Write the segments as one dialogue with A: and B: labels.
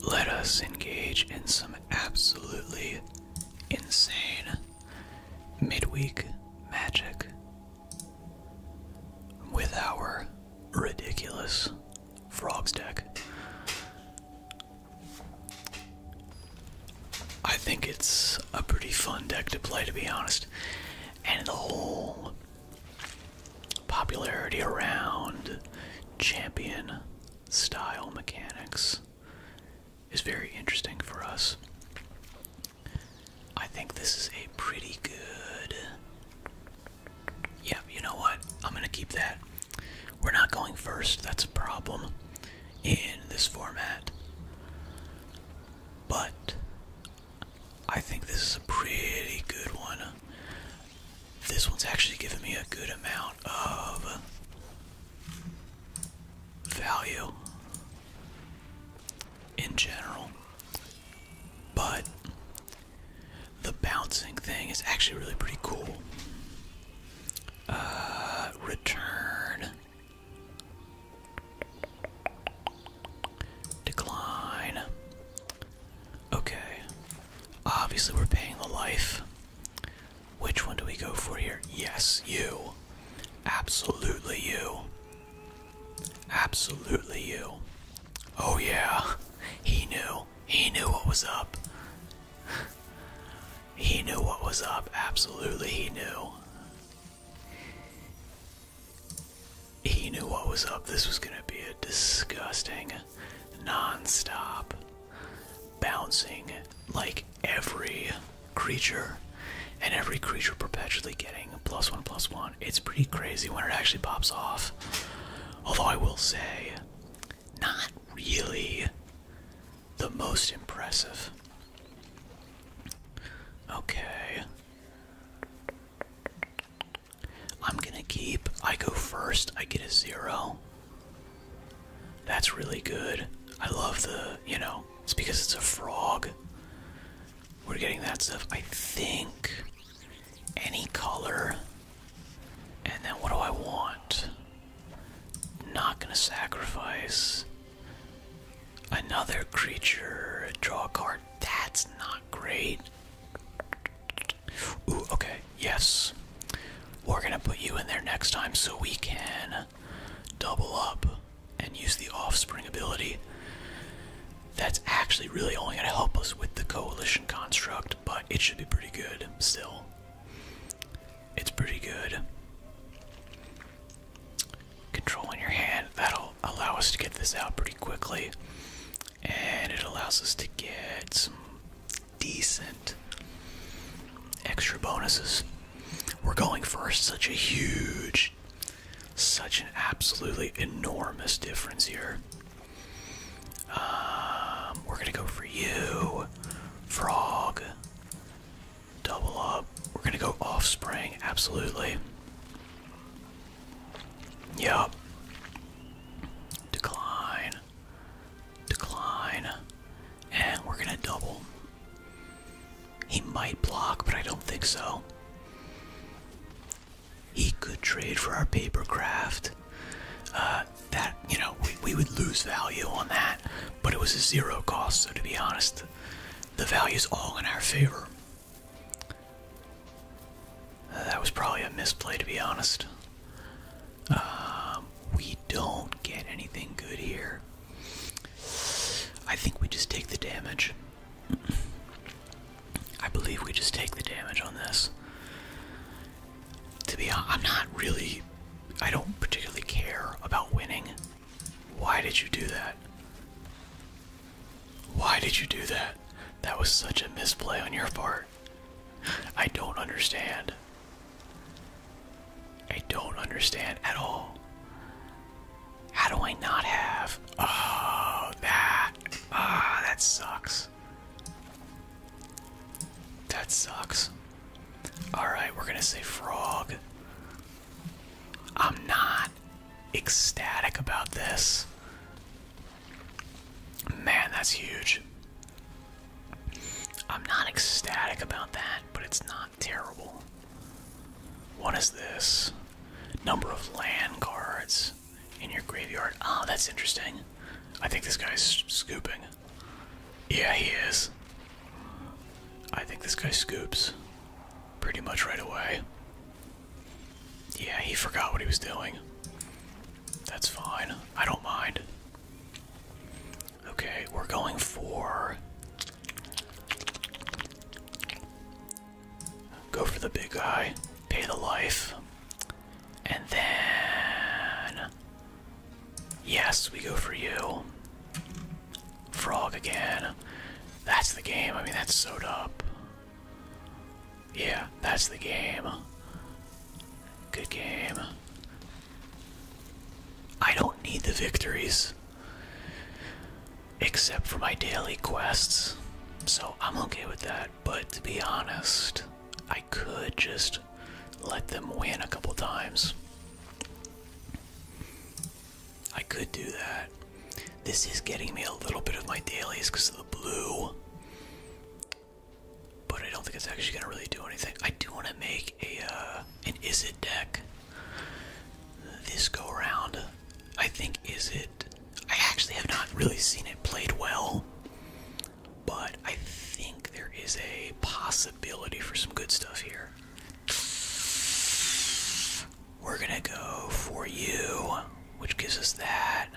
A: Let us engage in some absolutely insane midweek magic with our ridiculous frogs deck. I think it's a pretty fun deck to play, to be honest. And the whole popularity around champion style mechanics is very interesting for us. I think this is a pretty good. Yeah, you know what? I'm going to keep that. We're not going first, that's a problem in this format. But I think this is a pretty good one. This one's actually giving me a good amount of value in general. But the bouncing thing is actually really pretty cool. Uh, return. Decline. Okay. Obviously, we're paying the life. Which one do we go for here? Yes, you. Absolutely you. Absolutely you. Oh yeah. He knew. He knew what was up. He knew what was up. Absolutely he knew. He knew what was up. This was going to be a disgusting nonstop, bouncing like every creature, and every creature perpetually getting plus one plus one. It's pretty crazy when it actually pops off. Although I will say, not really the most impressive. Okay. I'm gonna keep. I go first, I get a zero. That's really good. I love the, you know, it's because it's a frog. We're getting that stuff, I think. Any color. And then what do I want? Not gonna sacrifice another creature. Draw a card. That's not great. Ooh, okay, yes. We're gonna put you in there next time so we can double up and use the offspring ability. That's actually really only gonna help us with the coalition construct, but it should be pretty good still. It's pretty good. Control in your hand, that'll allow us to get this out pretty quickly. And it allows us to get some decent extra bonuses. We're going for such a huge, such an absolutely enormous difference here. Um, we're gonna go for you, frog. Double up. We're gonna go offspring, absolutely. Yep. Decline decline, and we're gonna double. He might block, but I don't think so. He could trade for our paper craft. Uh, that, you know, we, would lose value on that, but it was a zero cost, so to be honest, the value is all in our favor. Uh, that was probably a misplay, to be honest. Um, we don't get anything good here. I think we just take the damage. I believe we just take the damage on this. To be honest, I'm not really. I don't particularly care about winning. Why did you do that? Why did you do that? That was such a misplay on your part. I don't understand. I don't understand at all. How do I not have? Oh, that. Ah, that sucks. That sucks. Alright, we're gonna say frog. I'm not ecstatic about this. Man, that's huge. I'm not ecstatic about that, but it's not terrible. What is this? Number of land cards in your graveyard. Oh, that's interesting. I think this guy's scooping. Yeah, he is. I think this guy scoops pretty much right away. Yeah, he forgot what he was doing. That's fine. I don't mind. Okay, we're going for. Go for the big guy, pay the life, and then. Yes, we go for you. Frog again. That's the game. I mean, that's sewed up. Yeah, that's the game. Good game. I don't need the victories. Except for my daily quests. So I'm okay with that. But to be honest, I could just let them win a couple times. I could do that. This is getting me a little bit of my dailies because of the blue but I don't think it's actually gonna really do anything. I do want to make a uh, an is it deck this go around. I think is it. I actually have not really seen it played well, but I think there is a possibility for some good stuff here. We're gonna go for you, which gives us that.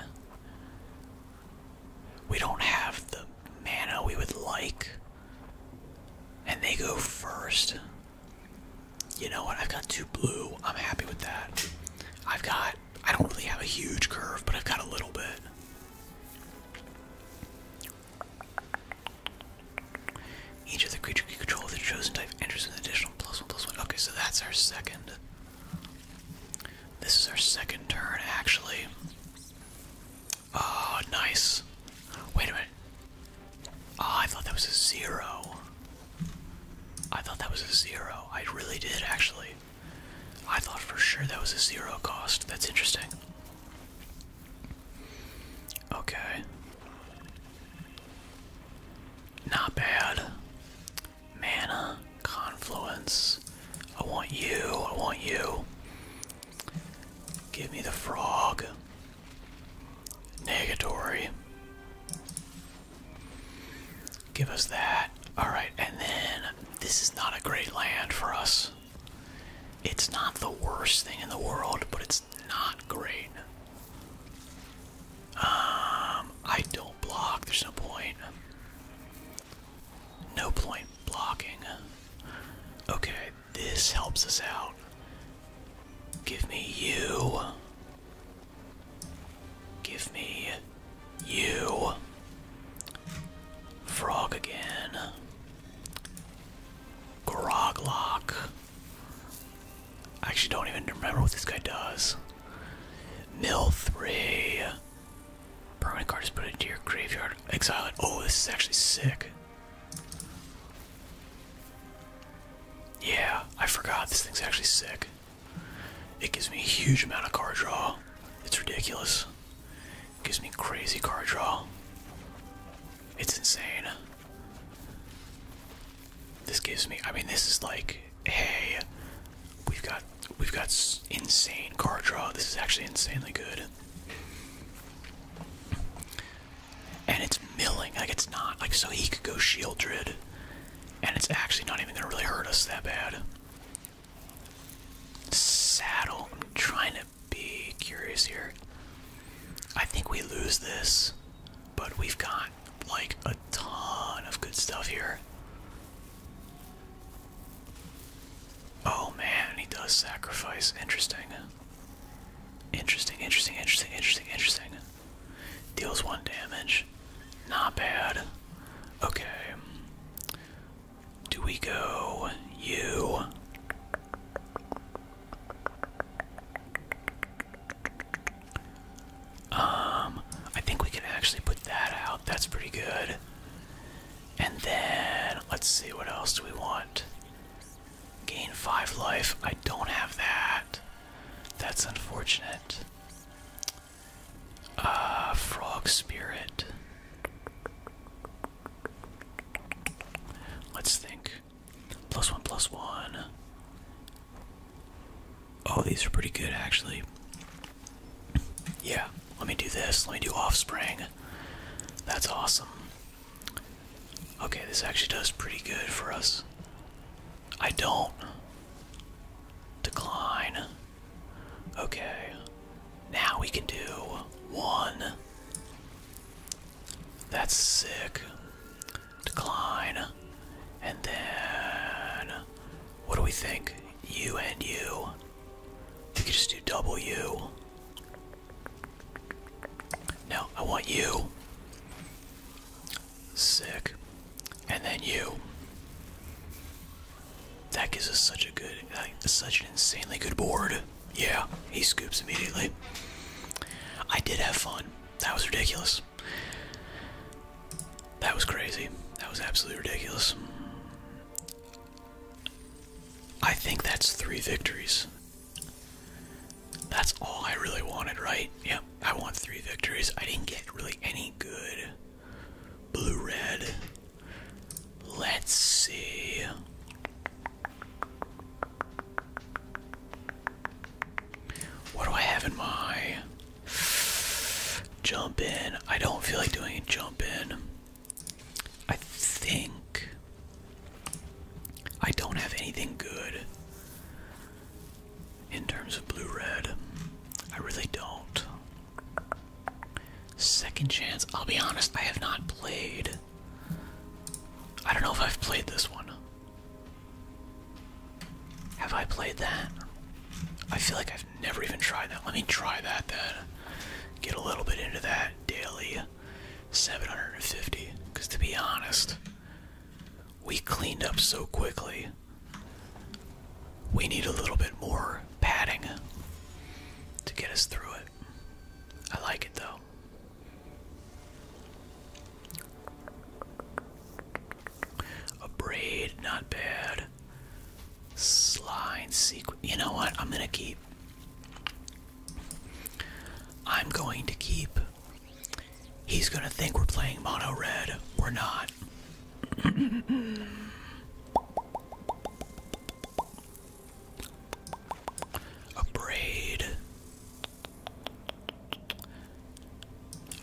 A: We don't have the mana we would like. And they go first. You know what? I've got two blue. I'm happy with that. I've got. I don't really have a huge curve, but I've got a little bit. Each of the creature you control of the chosen type enters with an additional plus one plus one. Okay, so that's our second. This is our second turn, actually. Oh, nice. Wait a minute. Ah, I thought that was a zero. I thought that was a zero. I really did, actually. I thought for sure that was a zero cost. That's interesting. Okay. Not bad. Mana. Confluence. I want you. I want you. Give me the frog. Negatory. Give us that. Alright, and then this is not a great land for us. It's not the worst thing in the world, but it's not great. Um, I don't block, there's no point. No point blocking. Okay, this helps us out. Give me you. Give me you. Frog again. Groglock. I actually don't even remember what this guy does. Mill 3. Permanent card is put into your graveyard. Exile it. Oh, this is actually sick. Yeah, I forgot. This thing's actually sick. It gives me a huge amount of card draw. It's ridiculous. It gives me crazy card draw. It's insane. This gives me. I mean, this is like, hey, we've got we've got insane card draw. This is actually insanely good. And it's milling. Like, it's not. Like, so he could go Shieldred. And it's actually not even going to really hurt us that bad. Saddle. I'm trying to be curious here. I think we lose this. But we've got, like, a ton of good stuff here. Oh man, he does sacrifice. Interesting. Interesting, interesting, interesting, interesting, interesting. Deals one damage. Not bad. Okay. Do we go you? Um, I think we can actually put that out. That's pretty good. And then let's see what else do we want. Gain five life. I don't have that. That's unfortunate. Uh, frog spirit. Let's think. Plus one, plus one. Oh, these are pretty good actually. Yeah, let me do this. Let me do offspring. That's awesome. Okay, this actually does pretty good for us. I don't. Decline. Okay. Now we can do one. That's sick. Decline. And then. What do we think? You and you. You could just do W. No, I want you. Sick. And then you. That gives us such a good, such an insanely good board. Yeah, he scoops immediately. I did have fun. That was ridiculous. That was crazy. That was absolutely ridiculous. I think that's three victories. That's all I really wanted, right? Yep, I want three victories. I didn't get really any good blue red. Let's see. What do I have in my jump in? I don't feel like doing a jump in. I think I don't have anything good in terms of blue red. I really don't. Second chance. I'll be honest, I have not played. I don't know if I've played this one. Have I played that? I feel like I've never even tried that. Let me try that then get a little bit into that daily 750. Because to be honest, we cleaned up so quickly. We need a little bit more padding to get us through it. I like it though. A braid, not bad. Slime sequence. You know what? I'm gonna keep. I'm going to keep. He's gonna think we're playing mono red. We're not. A braid.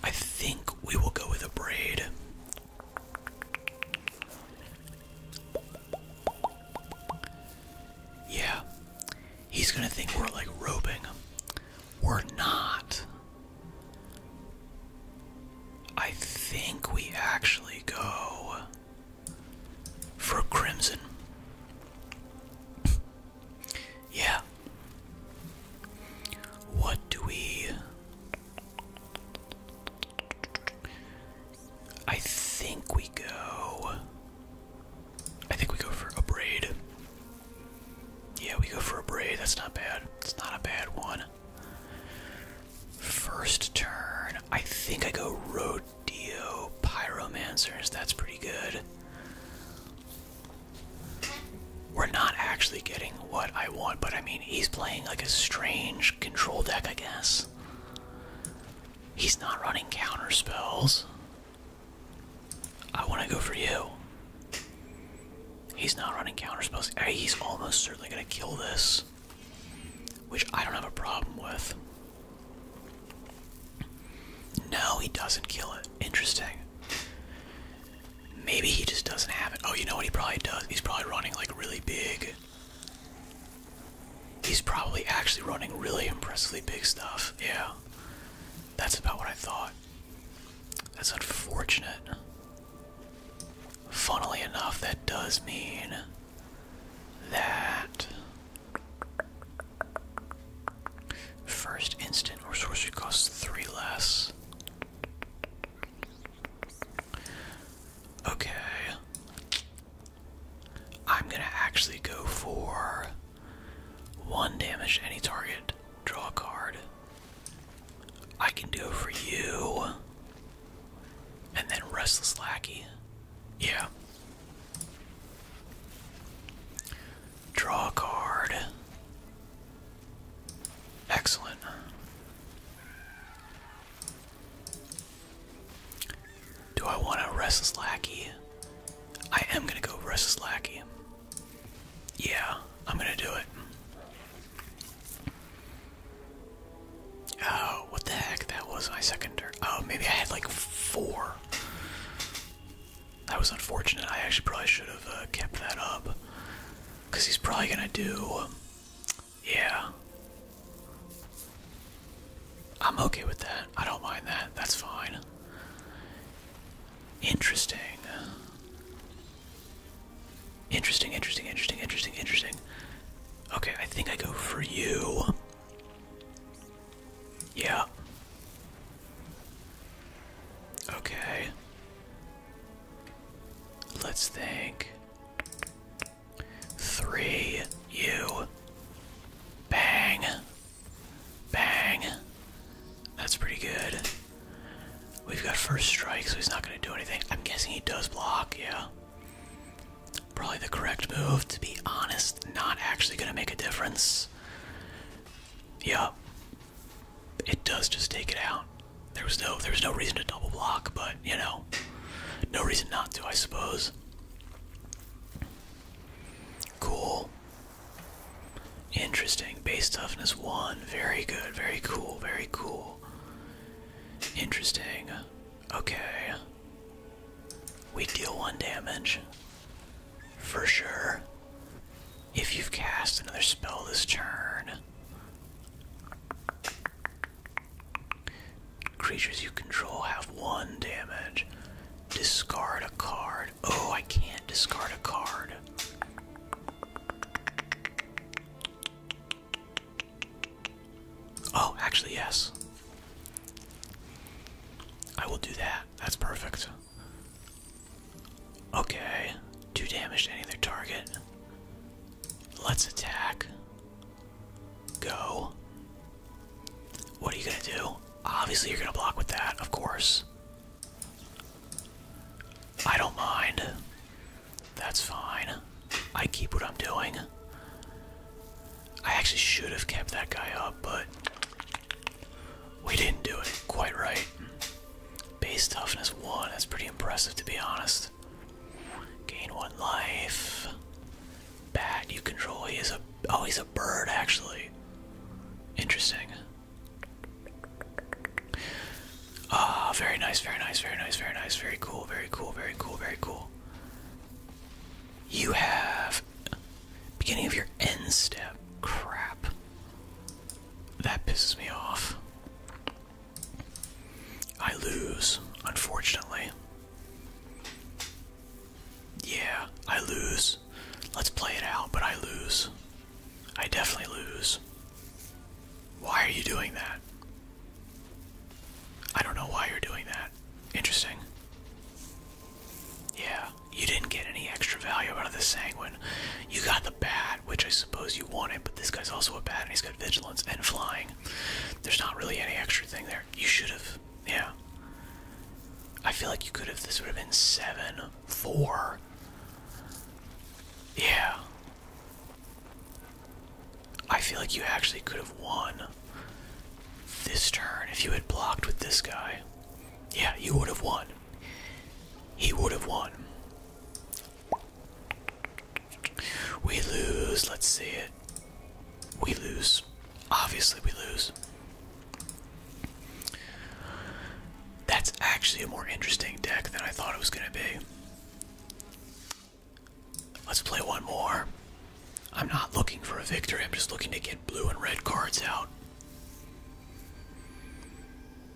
A: I think we will go with a braid. Yeah. He's gonna think we're like roping. We're not. I think we actually go for Crimson. yeah. What do we. I think we go. I think we go for a braid. Yeah, we go for a braid. That's not bad. It's not a bad one. First turn. I think I go Rodeo Pyromancers. That's pretty good. We're not actually getting what I want, but I mean, he's playing like a strange control deck, I guess. He's not running counter spells. I want to go for you. He's not running counter spells. He's almost certainly going to kill this, which I don't have a problem with. No, he doesn't kill it. Interesting. Maybe he just doesn't have it. Oh, you know what he probably does? He's probably running like really big He's probably actually running really impressively big stuff. Yeah. That's about what I thought. That's unfortunate. Funnily enough, that does mean that first instant or sorcery costs three less. Okay. I'm gonna actually go for one damage to any target. Draw a card. I can do it for you. And then Restless Lackey. Yeah. Draw a card. Excellent. Do I want a restless lackey? I am gonna go restless lackey. Yeah, I'm gonna do it. Oh, what the heck? That was my second turn. Oh, maybe I had like four. That was unfortunate. I actually probably should have uh, kept that up. Because he's probably gonna do. Yeah. I'm okay with that. I don't mind that. That's fine. Interesting. Interesting, interesting, interesting, interesting, interesting. Okay, I think I go for you. Yeah. Okay. Let's think. Three, you. Bang. Bang. That's pretty good. We've got first strike, so he's not going to do anything. I'm guessing he does block, yeah. Probably the correct move, to be honest. Not actually going to make a difference. Yeah. It does just take it out. There was no there was no reason to double block, but you know, no reason not to, I suppose. Cool. Interesting. Base toughness 1. Very good. Very cool. Very cool. Interesting. Okay. We deal 1 damage. For sure. If you've cast another spell this turn. Creatures you control have one damage. Discard a card. Oh, I can't discard a card. Oh, actually, yes. I will do that. That's perfect. Okay, two damage to any other target. Let's attack. Go. What are you gonna do? Obviously, you're gonna block with that, of course. I don't mind. That's fine. I keep what I'm doing. I actually should have kept that guy up, but we didn't do it quite right. Base toughness 1, that's pretty impressive to be honest. Gain one life. Bat you control. is a oh he's a bird actually. Interesting. Ah, very nice, very nice, very nice, very nice, very cool, very cool, very cool, very cool. You have beginning of your end step. Crap. That pisses me off. I lose, unfortunately. Yeah, I lose. Let's play it out, but I lose. I definitely lose. Why are you doing that? I don't know why you're doing that. Interesting. Yeah, you didn't get any extra value out of the sanguine. You got the bat, which I suppose you wanted, but this guy's also a bat and he's got vigilance and flying. There's not really any extra thing there. You should have. Yeah. I feel like you could have. This would have been 7 4. Yeah. I feel like you actually could have won this turn if you had blocked with this guy. Yeah, you would have won. He would have won. We lose. Let's see it. We lose. Obviously, we lose. That's actually a more interesting deck than I thought it was going to be. Let's play one more. I'm not looking for a victory, I'm just looking to get blue and red cards out.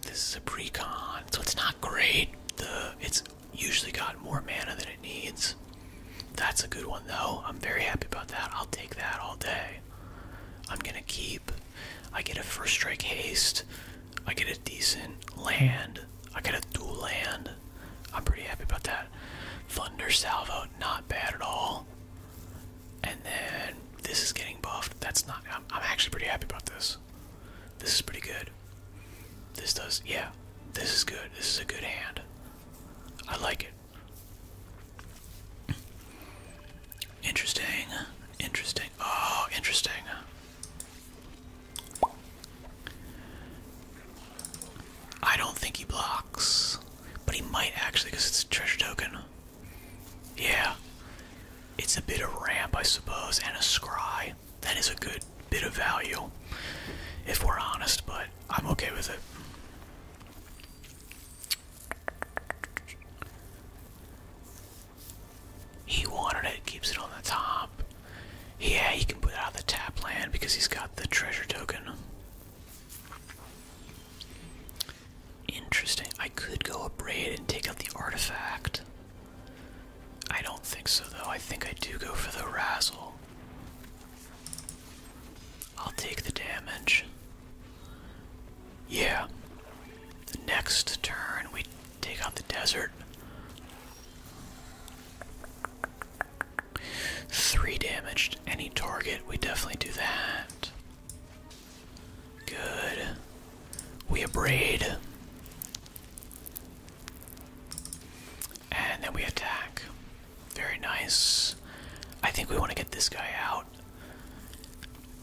A: This is a precon, so it's not great. The it's Usually got more mana than it needs. That's a good one though. I'm very happy about that. I'll take that all day. I'm gonna keep. I get a first strike haste. I get a decent land. I get a dual land. I'm pretty happy about that. Thunder Salvo, not bad at all. And then this is getting buffed. That's not. I'm, actually pretty happy about this. This is pretty good. This does. Yeah. This is good. This is a good hand. I like it. Interesting. Interesting. Oh, interesting. I don't think he blocks, but he might actually because it's a treasure token. Yeah. It's a bit of ramp, I suppose, and a scry. That is a good bit of value if we're honest, but I'm okay with it. He wanted it, keeps it on the top. Yeah, he can put it out the tap land because he's got the treasure token. Interesting. I could go braid and take out the artifact. I don't think so though. I think I do go for the razzle. I'll take the damage. Yeah. The next turn, we take out the desert. Three damaged any target. We definitely do that. Good. We abrade. And then we attack. Very nice. I think we want to get this guy out.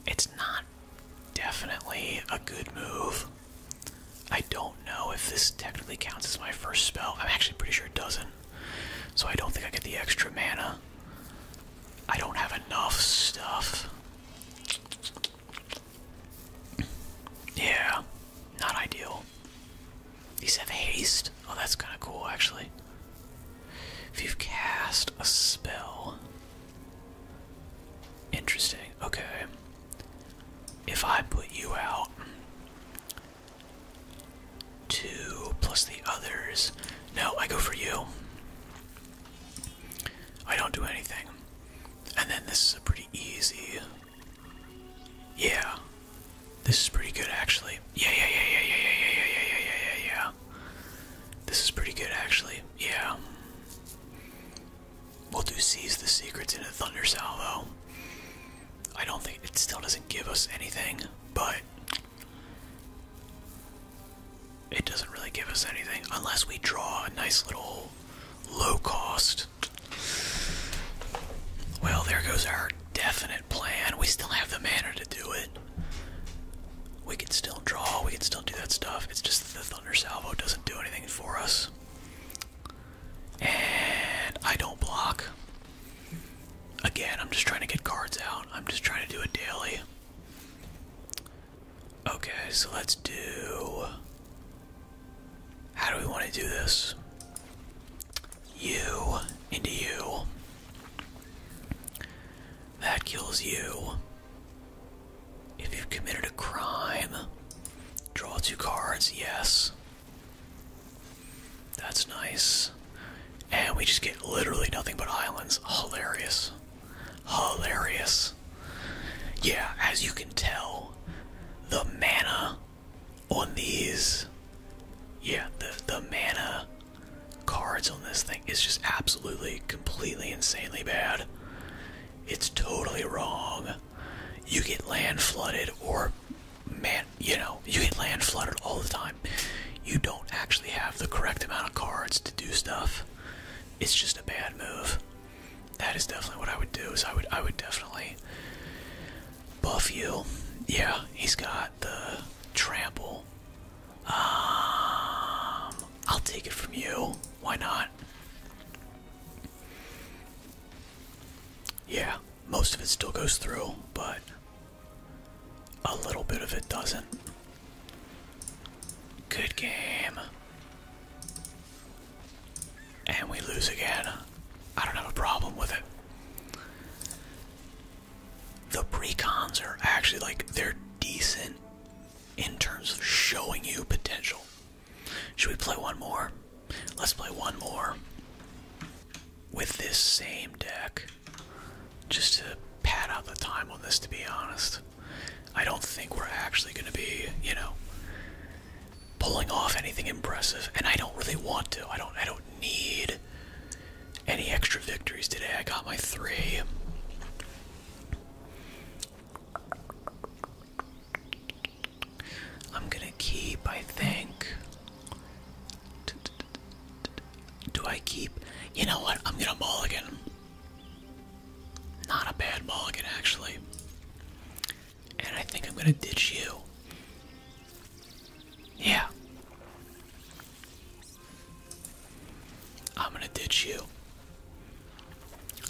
A: It's not definitely a good move. I don't know if this technically counts as my first spell. I'm actually pretty sure it doesn't. So I don't think I get the extra mana. I don't have enough stuff. Yeah, not ideal. These have haste. Oh, that's kind of cool, actually. If you've cast a spell. Interesting. Okay. If I put you out. Two plus the others. No, I go for you. I don't do anything. And then this is a pretty easy yeah. This is pretty good actually. Yeah, yeah, yeah, yeah, yeah, yeah, yeah, yeah, yeah, yeah, yeah, yeah. This is pretty good actually. Yeah. We'll do seize the secrets in a thunder salvo. I don't think it still doesn't give us anything, but it doesn't really give us anything unless we draw a nice little low cost well, there goes our definite plan. We still have the mana to do it. We can still draw, we can still do that stuff. It's just that the Thunder Salvo doesn't do anything for us. And I don't block. Again, I'm just trying to get cards out. I'm just trying to do it daily. Okay, so let's do. How do we want to do this? you into you. That kills you. If you've committed a crime, draw two cards, yes. That's nice. And we just get literally nothing but islands. Hilarious. Hilarious. Yeah, as you can tell, the mana on these yeah the the mana cards on this thing is just absolutely completely insanely bad it's totally wrong you get land flooded or man you know you get land flooded all the time you don't actually have the correct amount of cards to do stuff it's just a bad move that is definitely what i would do is i would i would definitely buff you. Yeah, he's got the trample. Um, I'll take it from you. Why not? Yeah, most of it still goes through, but a little bit of it doesn't. Good game. And we lose again. I don't have a problem with it. The precons are actually like they're decent in terms of showing you potential. Should we play one more? Let's play one more with this same deck just to pad out the time on this to be honest. I don't think we're actually going to be, you know, pulling off anything impressive, and I don't really want to. I don't I don't need any extra victories today. I got my three. I'm gonna keep, I think. Do I keep? You know what? I'm gonna mulligan. Not a bad mulligan, actually. And I think I'm gonna ditch you. Yeah. I'm gonna ditch you.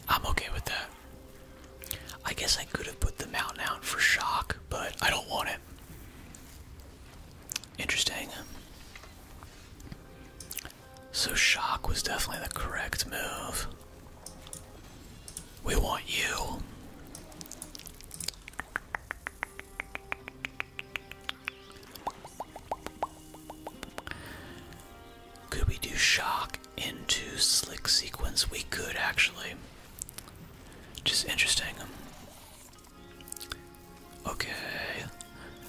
A: I'm okay with that. I guess I could have put the mountain out for shock, but I don't want it. Interesting. So, shock was definitely the correct move. We want you. Could we do shock into slick sequence? We could actually. Just interesting. Okay.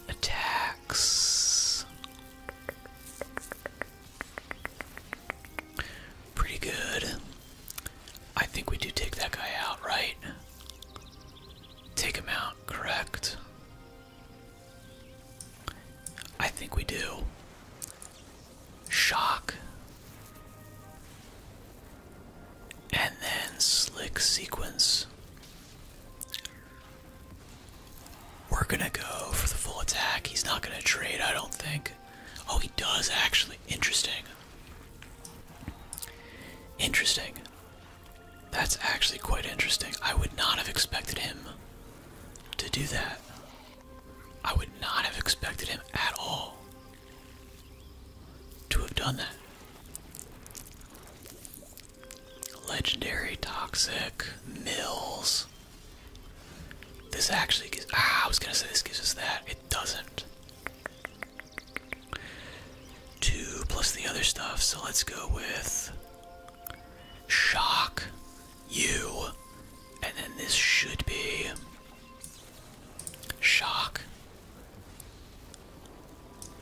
A: Attacks. Pretty good. I think we do take that guy out, right? Take him out, correct? I think we do. Shock. And then slick sequence. We're gonna go for the full attack. He's not gonna trade, I don't think. Oh, he does actually. Interesting. Interesting. That's actually quite interesting. I would not have expected him to do that. I would not have expected him at all to have done that. Legendary, toxic, mills. This actually ah, I was gonna say this gives us that. It doesn't. Two plus the other stuff, so let's go with shock, you, and then this should be shock,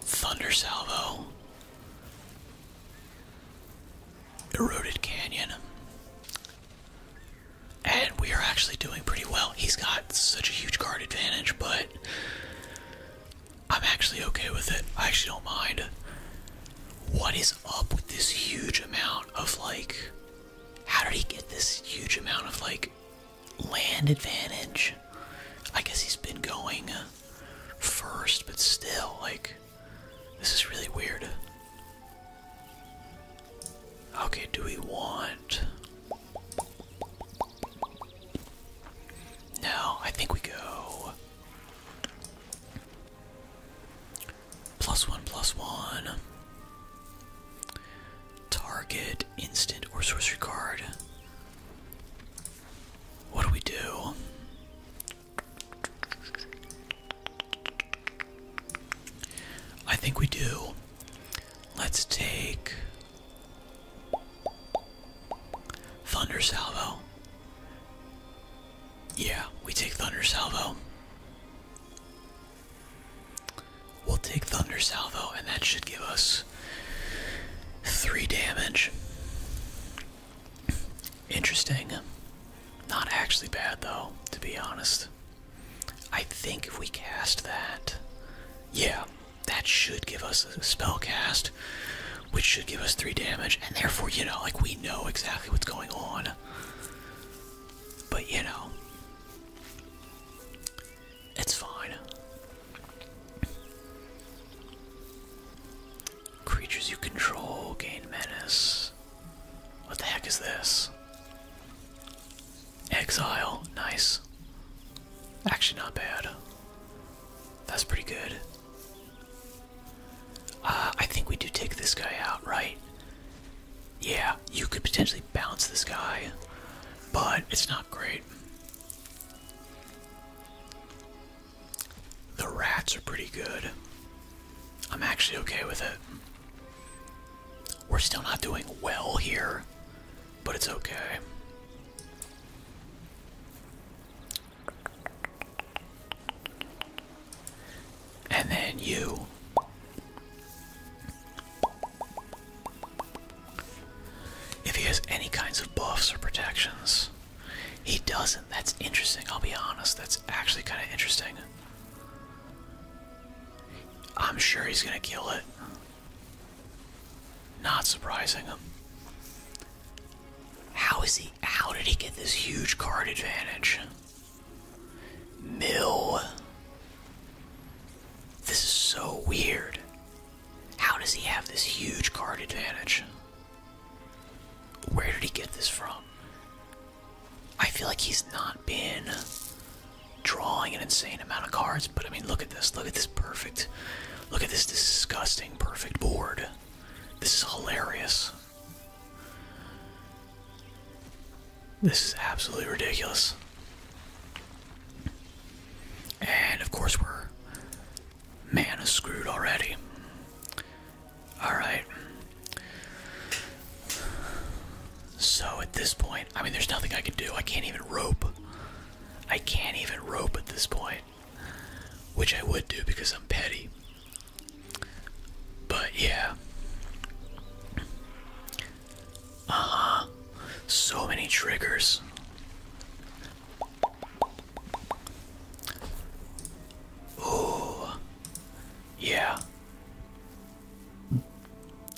A: thunder salvo, eroded canyon, and we are actually doing pretty well. He's got such a huge card advantage, but I'm actually okay with it. I actually don't mind. What is up with this huge amount of like. How did he get this huge amount of like land advantage? I guess he's been going first, but still, like. This is really weird. Okay, do we want. No, I think we go. Plus one, plus one. Target, instant, or sorcery card. What do we do? I think we do. Let's take Thunder Salvo. Yeah, we take Thunder Salvo. We'll take Thunder Salvo, and that should give us three damage. Interesting. Not actually bad, though, to be honest. I think if we cast that, yeah, that should give us a spell cast, which should give us three damage, and therefore, you know, like we know exactly what's going on. But you know, it's fine. Creatures you control gain menace. What the heck is this? Exile, nice. Actually, not bad. That's pretty good. Uh, I think we do take this guy out, right? Yeah, you could potentially balance this guy, but it's not great. The rats are pretty good. I'm actually okay with it. We're still not doing well here, but it's okay. And then you. If he has any kinds of buffs or protections, he doesn't. That's interesting, I'll be honest. That's actually kind of interesting. I'm sure he's gonna kill it. Not surprising him. How is he? How did he get this huge card advantage? Mill. This is so weird. How does he have this huge card advantage? Where did he get this from? I feel like he's not been drawing an insane amount of cards, but I mean, look at this. Look at this perfect. Look at this disgusting perfect board. This is hilarious. This is absolutely ridiculous. And of course, we're man is screwed already. All right. So at this point, I mean, there's nothing I can do. I can't even rope. I can't even rope at this point, which I would do because I'm petty. But yeah. Uh So many triggers. Oh, yeah.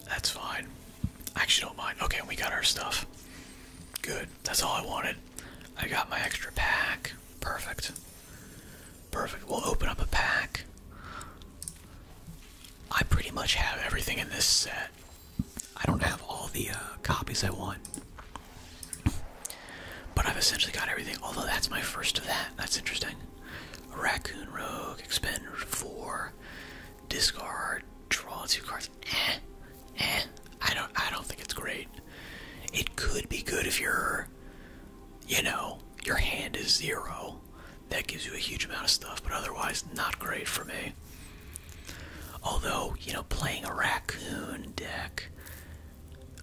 A: That's fine. I actually don't mind. Okay, we got our stuff. Good. That's all I wanted. I got my extra pack. Perfect. Perfect. We'll open up a pack. I pretty much have everything in this set. I don't have all the uh, copies I want. But I've essentially got everything, although that's my first of that. That's interesting. raccoon rogue, expender 4, discard, draw two cards. Eh, eh. I don't. I don't think it's great. It could be good if you're, you know, your hand is zero. That gives you a huge amount of stuff, but otherwise, not great for me. Although, you know, playing a raccoon deck,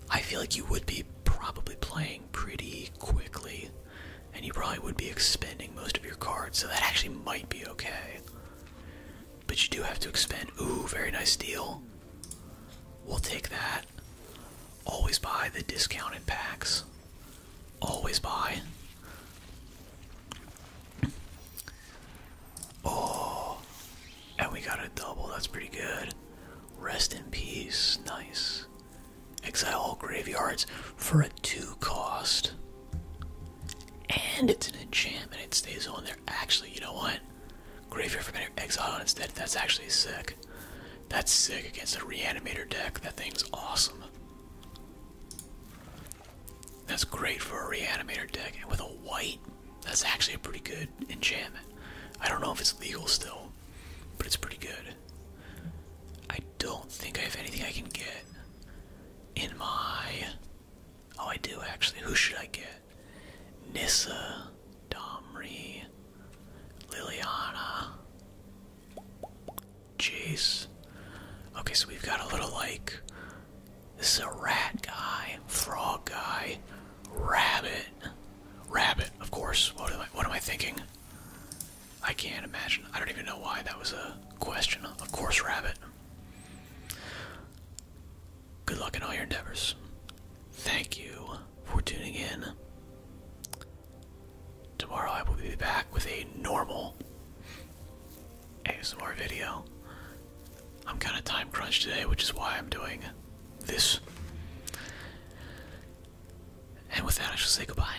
A: I feel like you would be probably playing pretty quickly and you probably would be expending most of your cards, so that actually might be okay. But you do have to expend. Ooh, very nice deal. We'll take that. Always buy the discounted packs. Always buy. Oh, and we got a double. That's pretty good. Rest in peace. Nice. Exile all graveyards for a 2 cost. And it's an enchantment. It stays on there. Actually, you know what? Graveyard from exile on its That's actually sick. That's sick against a reanimator deck. That thing's awesome. That's great for a reanimator deck. with a white, that's actually a pretty good enchantment. I don't know if it's legal still, but it's pretty good. I don't think I have anything I can get in my. Oh, I do actually. Who should I get? Nissa, Domri, Liliana, Jace. Okay, so we've got a little like. This is a rat guy, frog guy, rabbit. Rabbit, of course. what am I thinking? I can't imagine. I don't even know why that was a question. Of course, Rabbit. Good luck in all your endeavors. Thank you for tuning in. Tomorrow I will be back with a normal ASMR video. I'm kind of time crunch today, which is why I'm doing this. And with that, I shall say goodbye.